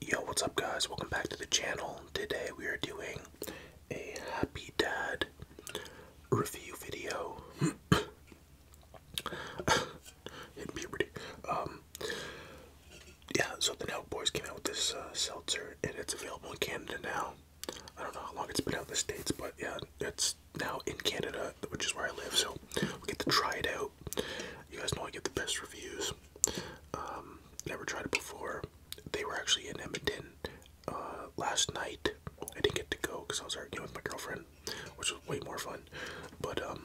Yo, what's up guys? Welcome back to the channel. Today we are doing a Happy Dad review video. Hit puberty. Um, yeah, so the Nelk Boys came out with this uh, seltzer and it's available in Canada now. I don't know how long it's been out in the States, but yeah, it's now in Canada, which is where I live, so we get to try it out. You guys know I get the best reviews. Um, never tried it before. They were actually in Edmonton uh, last night. I didn't get to go because I was arguing with my girlfriend, which was way more fun. But um,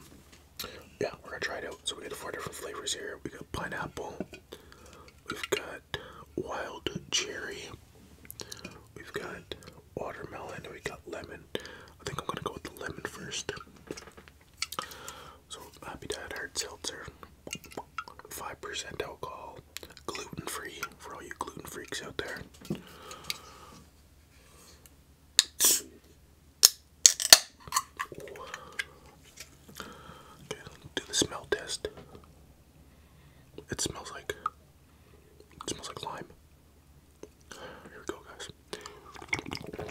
yeah, we're gonna try it out. So we got four different flavors here. We got pineapple. We've got wild cherry. We've got watermelon. We got lemon. I think I'm gonna go with the lemon first. So Happy Dad Hard Seltzer, 5% alcohol, gluten free for all you gluten freaks out there. Okay, do the smell test. It smells like it smells like lime. Here we go, guys. That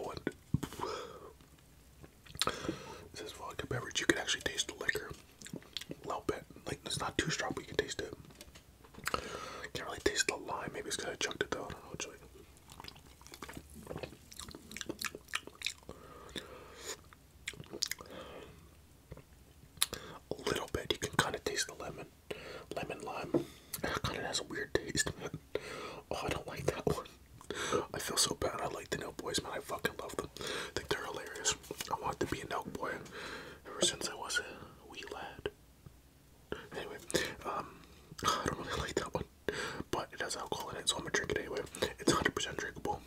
one. This is vodka beverage. You can actually taste the liquor a little bit. Like it's not too strong, but you can taste it. Can't really taste the lime. Maybe it's because I chunked it though. A little bit, you can kind of taste the lemon, lemon lime. It kind of has a weird taste. Man. Oh, I don't like that one. I feel so bad. I like the Elk Boys, man. I fucking love them. I think they're hilarious. I want to be an Elk Boy ever since I was a wee lad. Anyway, um, I don't really like that one but it has alcohol in it, so I'm gonna drink it anyway. It's 100% drinkable.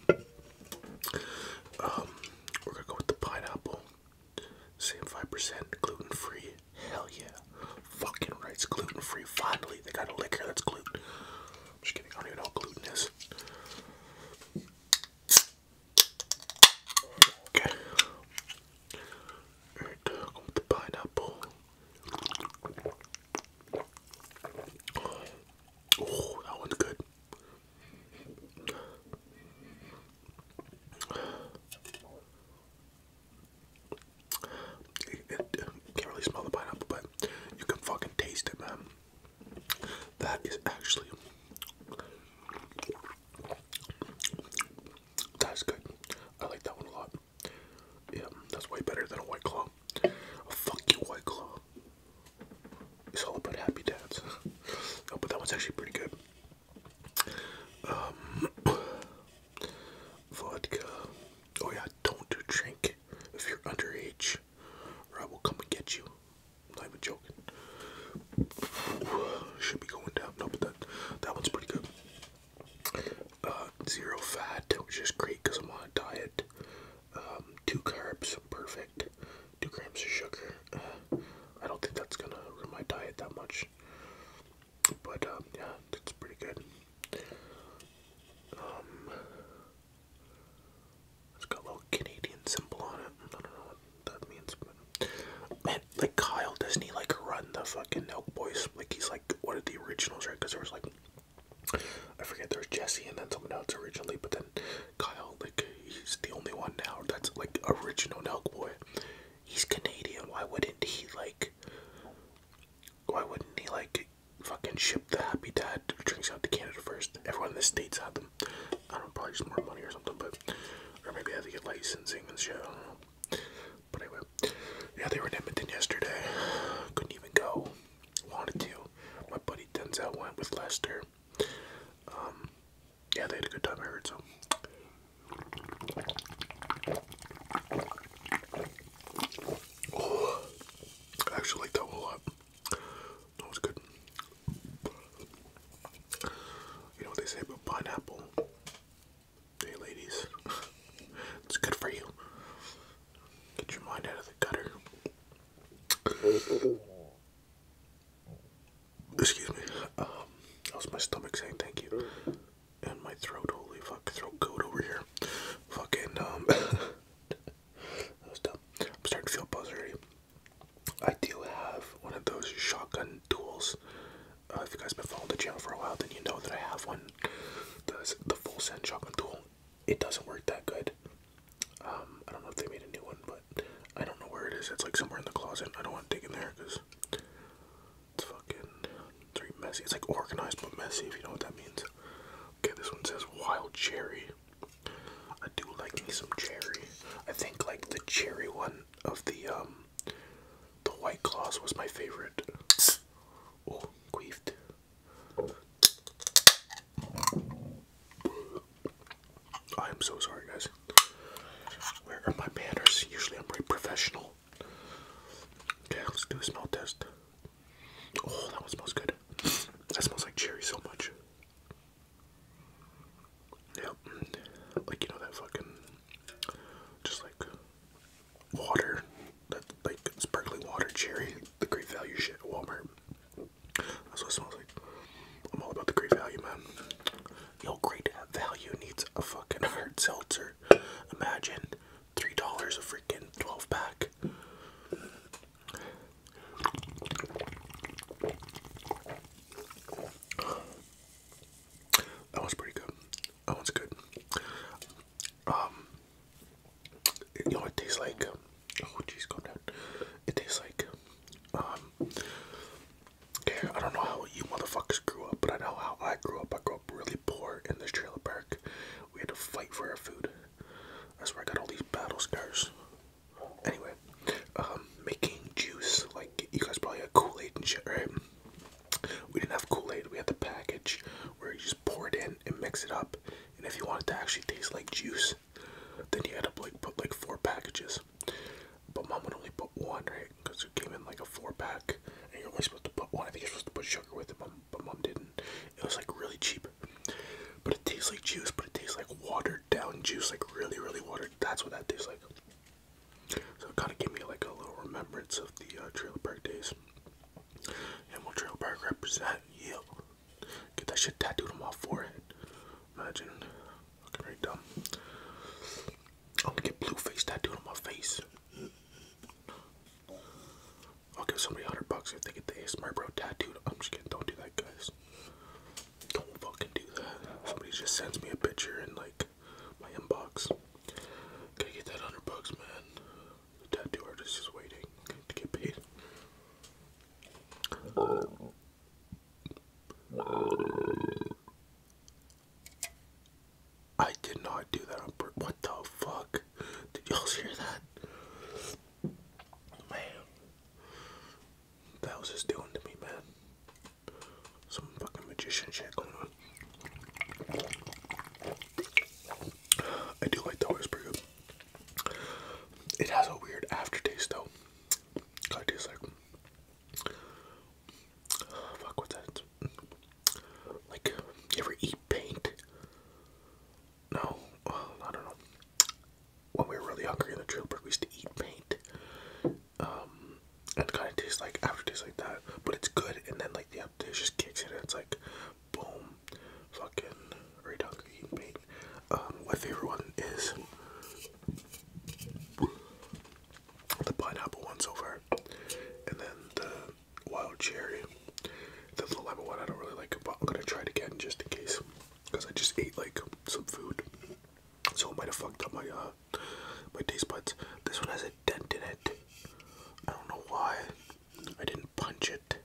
Um, we're gonna go with the pineapple. Same 5%, gluten free. Hell yeah. Fucking right, it's gluten free. Finally, they got a liquor that's gluten. i just kidding, I don't even know what gluten is. Okay. Uh, go with the pineapple that one's good. can't really smell the pineapple, but you can fucking taste it, man. That is actually. That's good. I like that one a lot. Yeah, that's way better than a white claw. fuck you, white claw. It's all about happy dads. no, but that one's actually pretty good. Um, vodka. Oh yeah, don't drink if you're underage, or I will come and get you. I'm not even joking. Ooh, should be going down. No, but that that one's pretty good. Uh, zero fat, which is great because I'm on a diet. Um, two carbs, perfect. Two grams of sugar. Uh, I don't think that's gonna ruin my diet that much. But um, yeah, that's pretty good. Um, it's got a little Canadian symbol on it. I don't know what that means, man, like Kyle Disney, like run the fucking Elk Boys? Like he's like one of the originals, right? Because there was like I forget There's Jesse and then someone else originally, but then Kyle, like he's the only one now that's like original Nelk boy. He's Canadian. Why wouldn't he like? Why wouldn't he like fucking ship the Happy Dad drinks out to Canada first? Everyone in the states had them. I don't know, probably just more money or something, but or maybe I have to get licensing and shit. I do But anyway, yeah, they were in Edmonton yesterday. Couldn't even go. Wanted to. My buddy Denzel went with Lester. Um, yeah, they had a good time. I heard so. Oh, I actually like a lot. That was good. You know what they say about pineapple? Hey, ladies, it's good for you. Get your mind out of the gutter. Excuse me. Um, my stomach saying thank you, and my throat. Holy fuck, throat goat over here. Fucking um, I'm starting to feel buzz I do have one of those shotgun tools. Uh, if you guys been following the channel for a while, then you know that I have one. The, the full scent chocolate tool, it doesn't work that good. Um, I don't know if they made a new one, but I don't know where it is. It's like somewhere in the closet. I don't want to dig in there because it's fucking it's very messy. It's like organized but messy, if you know what that means. Okay, this one says wild cherry. I do like me some cherry. I think like the cherry one of the um, the white claws was my favorite. Oh, queefed. I am so sorry, guys. Where are my manners? Usually I'm very professional. Okay, let's do a smell test. Oh, that one smells good. That smells like cherry so much. Yep. Like, you know, that fucking just like water, that like sparkling water, cherry, the great value shit at Walmart. That's what it smells like. I'm all about the great value, man. Yo, great value needs a fucking hard seltzer. Imagine three dollars a freaking twelve pack. That was pretty good. That one's good. Um, you know, it tastes like. Oh, jeez, calm down. It tastes like. Um, okay, I don't know how you motherfuckers grew up, but I know how I grew up. I grew up really poor in this trailer park. We had to fight for our food. That's where I got all these battle scars. Anyway, um, making juice like you guys probably had Kool Aid and shit, right? We didn't have Kool-Aid, we had the package where you just pour it in and mix it up. And if you wanted to actually taste like juice, then you had to like put like four packages. But mom would only put one, right? Because it came in like a four pack and you're only supposed to put one. I think you're supposed to put sugar with it, but mom didn't. It was like really cheap. But it tastes like juice, but it tastes like watered down juice, like really, really watered. That's what that tastes like. So it kind of gave me like a little remembrance of the uh, trailer park days. And we'll trailer park represent? Yeah. Get that shit tattooed on my forehead. Imagine. Looking dumb. I'm gonna get blue face tattooed on my face. I'll give somebody 100 bucks if they get the ASMR bro tattooed. I'm just kidding. Don't do that, guys. Don't fucking do that. Somebody just sends me a picture and like my inbox. Gotta get that hundred bucks, man. The tattoo artist is waiting to get paid. I did not do that What the fuck? Did y'all hear that? Man, that was just doing to me, man some fucking magician shit going on. I do like the it's pretty good. It has a weird aftertaste though. It tastes like fuck what's that? Like you ever eat paint? No, I don't know. When we were really hungry in the trailer park, we used to eat paint, um, and kind of tastes like aftertaste like that, but it's good. And then like the aftertaste just kicks in, it's like, boom, fucking right on cooking my favorite one is the pineapple one so far, and then the wild cherry. The little lemon one I don't really like, but I'm gonna try it again just in case, because I just ate like some food, so it might have fucked up my uh, my taste buds. This one has a dent in it. I don't know why. I didn't punch it.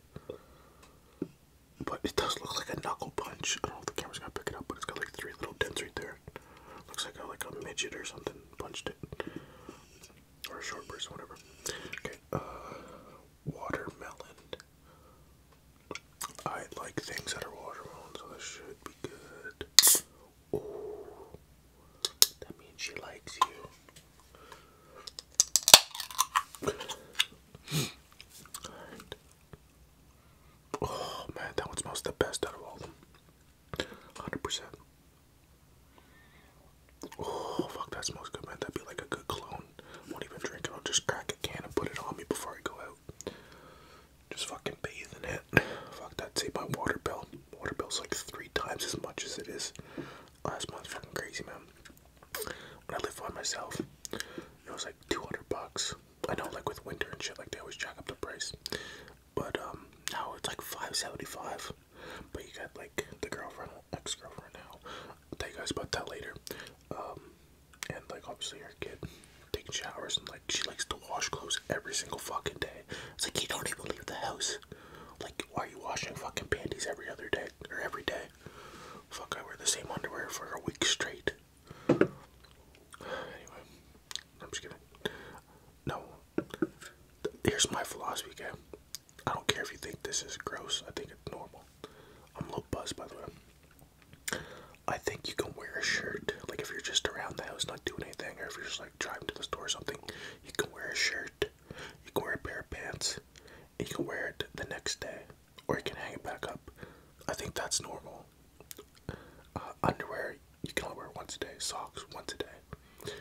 But it does look like a knuckle punch. I don't know if the camera's gonna pick it up, but it's got like three little dents right there. Looks like a, like a midget or something punched it, or a short person, whatever. Okay, uh, watermelon. I like things that are watermelon, so this should be good. Ooh. That means she likes you. Oh man, that one smells the best out of all them. 100%. Oh, fuck, that smells good, man. That'd be like a good clone. Won't even drink it. I'll just crack a can and put it on me before I go out. Just fucking bathing it. Fuck that. Save my water bill. Water bill's like three times as much as it is last oh, month. Fucking crazy, man. When I lived by myself, it was like 200 bucks. I know, like with winter and shit, like they always jack up the price. But um, now it's like 575. But you got like the girlfriend, ex-girlfriend now. I'll tell you guys about that later. Um, and like obviously your kid taking showers and like she likes to wash clothes every single fucking day. It's like you don't even leave the house. Like why are you washing fucking panties every other day or every day? Fuck, I wear the same underwear for a week straight. Anyway, I'm just kidding. No, here's my philosophy, okay? I don't care if you think this is gross. I think it's normal. I'm a little buzzed, by the way. I think you can wear a shirt. Like if you're just around the house not doing anything, or if you're just like driving to the store or something, you can wear a shirt. You can wear a pair of pants. And you can wear it the next day, or you can hang it back up. I think that's normal. Uh, underwear you can only wear once a day. Socks once a day.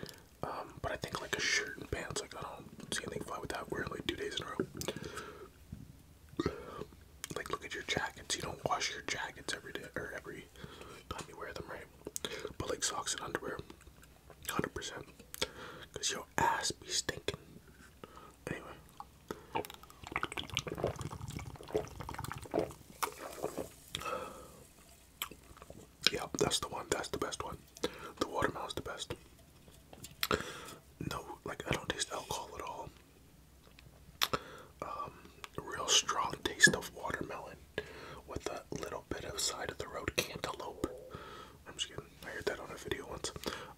Um, but I think like a shirt and pants, like I don't see anything fine with that. Wearing like two days in a row like look at your jackets. You don't wash your jackets every day or every time you wear them, right? But like socks and underwear, hundred percent, cause your ass be stinking. Anyway. Yeah, that's the one. That's the best one. The watermelon's the best. No, like I don't taste alcohol at all. Um, real strong taste of watermelon with a little bit of side of the road cantaloupe. I'm just kidding. I heard that on a video once.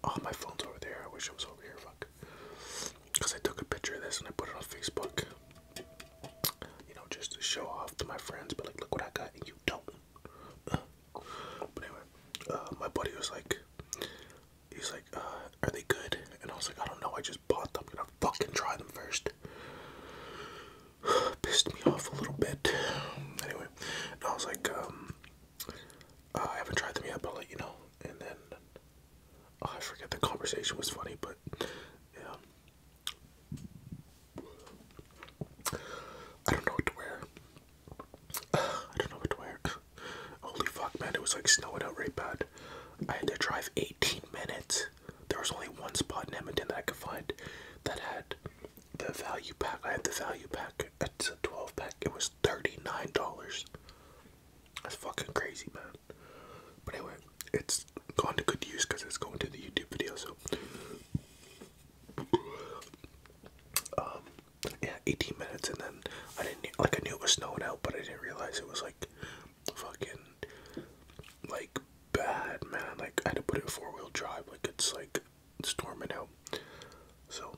Oh, my phone's over there. I wish I was over here. Fuck. Because I took a picture of this and I put it on Facebook. You know, just to show off to my friends. But like, look what I got and you don't. But anyway, uh, my buddy was like, he's like, uh, are they good? And I was like, I don't know, I just bought them. I'm gonna fucking try them first. Pissed me off a little bit. Anyway, and I was like, um, uh, I haven't tried them yet, but I'll let you know. And then, oh, I forget, the conversation was funny, but yeah. I don't know what to wear. I don't know what to wear. Holy fuck, man, it was like snowing out right bad. I had to drive 18 minutes. There was only one spot in Edmonton that I could find that had the value pack. I had the value pack. It's a 12 pack. It was $39. That's fucking crazy, man. But anyway, it's gone to good use because it's going to the YouTube video, so. Um, yeah, 18 minutes, and then I didn't like I knew it was snowing out, but I didn't realize it was like fucking like bad, man. Like I had to put it four wheel drive, like it's like storming out. So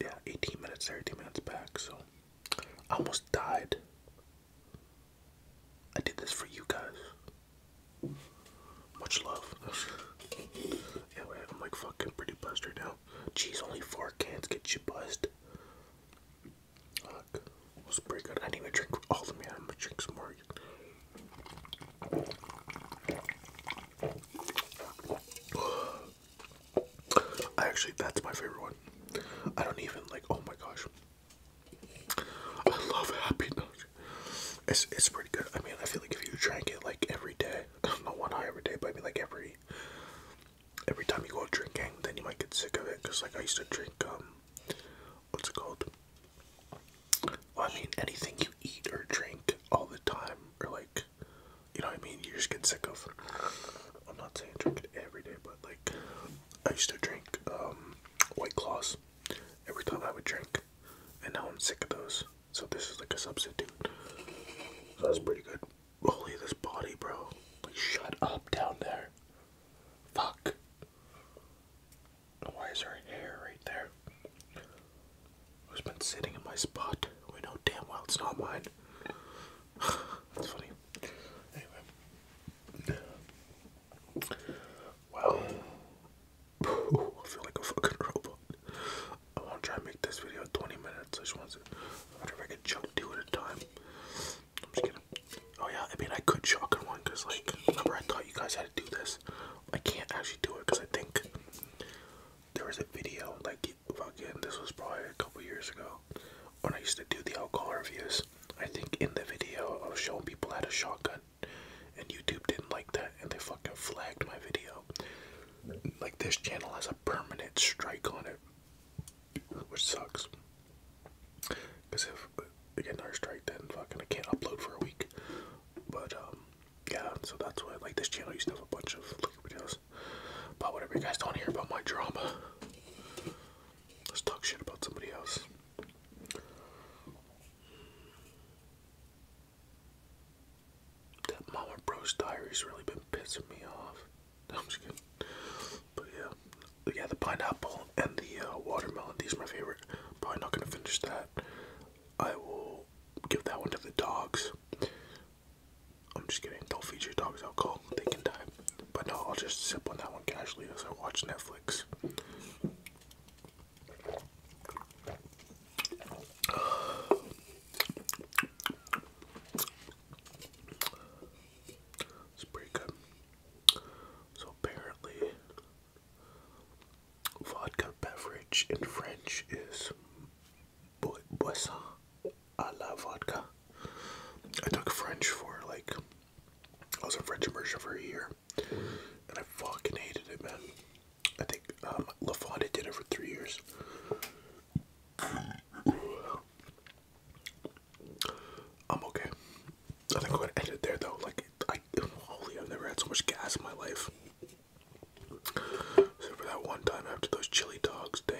yeah, 18 minutes Thirty minutes back. So I almost died. I did this for you guys. Much love. yeah, I'm like fucking pretty buzzed right now. Jeez, only four cans get you buzzed. Look, was pretty good. I didn't even drink all of them I'm gonna drink some more. Actually, that's my favorite one. I don't even like. Oh my gosh, I love Happy It's it's pretty good. I mean, I feel like if you drank it like every day, not one high every day, but I mean like every every time you go drinking, then you might get sick of it. Cause like I used to drink um, what's it called? I mean anything you eat or drink all the time, or like, you know what I mean? You just get sick of. I'm not saying drink it every day, but like, I used to drink um, White Claws every time I would drink, and now I'm sick of those. So this is like a substitute. So that's pretty good. Holy this body, bro. Like shut up down there. Fuck. Why is her hair right there? Who's been sitting in my spot? We know damn well it's not mine. That's funny. Anyway. Well, I feel like a fucking robot. I want to try and make this video 20 minutes. I just want to wonder if I could chunk two at a time. I'm just kidding. Oh yeah, I mean I could shotgun one because like remember I thought you guys had to do this. I can't actually do it because I think there was a video like fucking this was probably a couple years ago when I used to do the alcohol reviews. I think in the video of showing people how to shotgun and YouTube didn't like that and they fucking flagged my video like this channel has a permanent strike on it, which sucks. Because if I get another strike, then fucking I can't upload for a week. But um, yeah, so that's why like this channel used to have a bunch of videos. But whatever, you guys don't hear about my drama. Let's talk shit about somebody else. That Mama Bro's diary's really been pissing me off. I'm just kidding. But yeah, yeah, the pineapple and the uh, watermelon. These my favorite. Probably not gonna finish that. I will give that one to the dogs. I'm just kidding. Don't feed your dogs alcohol. They can die. But no, I'll just sip on that one casually as I watch Netflix. It's pretty good. So apparently, vodka beverage in French is bo boisson a la vodka. I took French for like I was in French immersion for a year, and I fucking hated it, man. I think um, LaFonda did it for three years. I'm okay. I think I'm gonna end it there though. Like, I, holy, I've never had so much gas in my life. Except for that one time after those chili dogs, damn.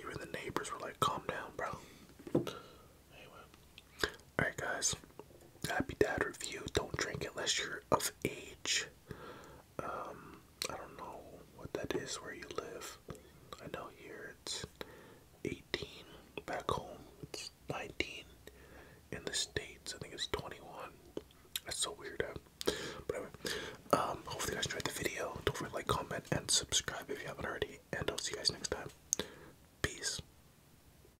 Even the neighbors were like, calm down, bro. Alright, guys. Happy Dad review. Don't drink unless you're of age. Um, I don't know what that is where you live. I know here it's 18. Back home, it's 19. In the States, I think it's 21. That's so weird, But anyway, um, hopefully you guys enjoyed the video. Don't forget to like, comment, and subscribe if you haven't already. And I'll see you guys next time. Peace.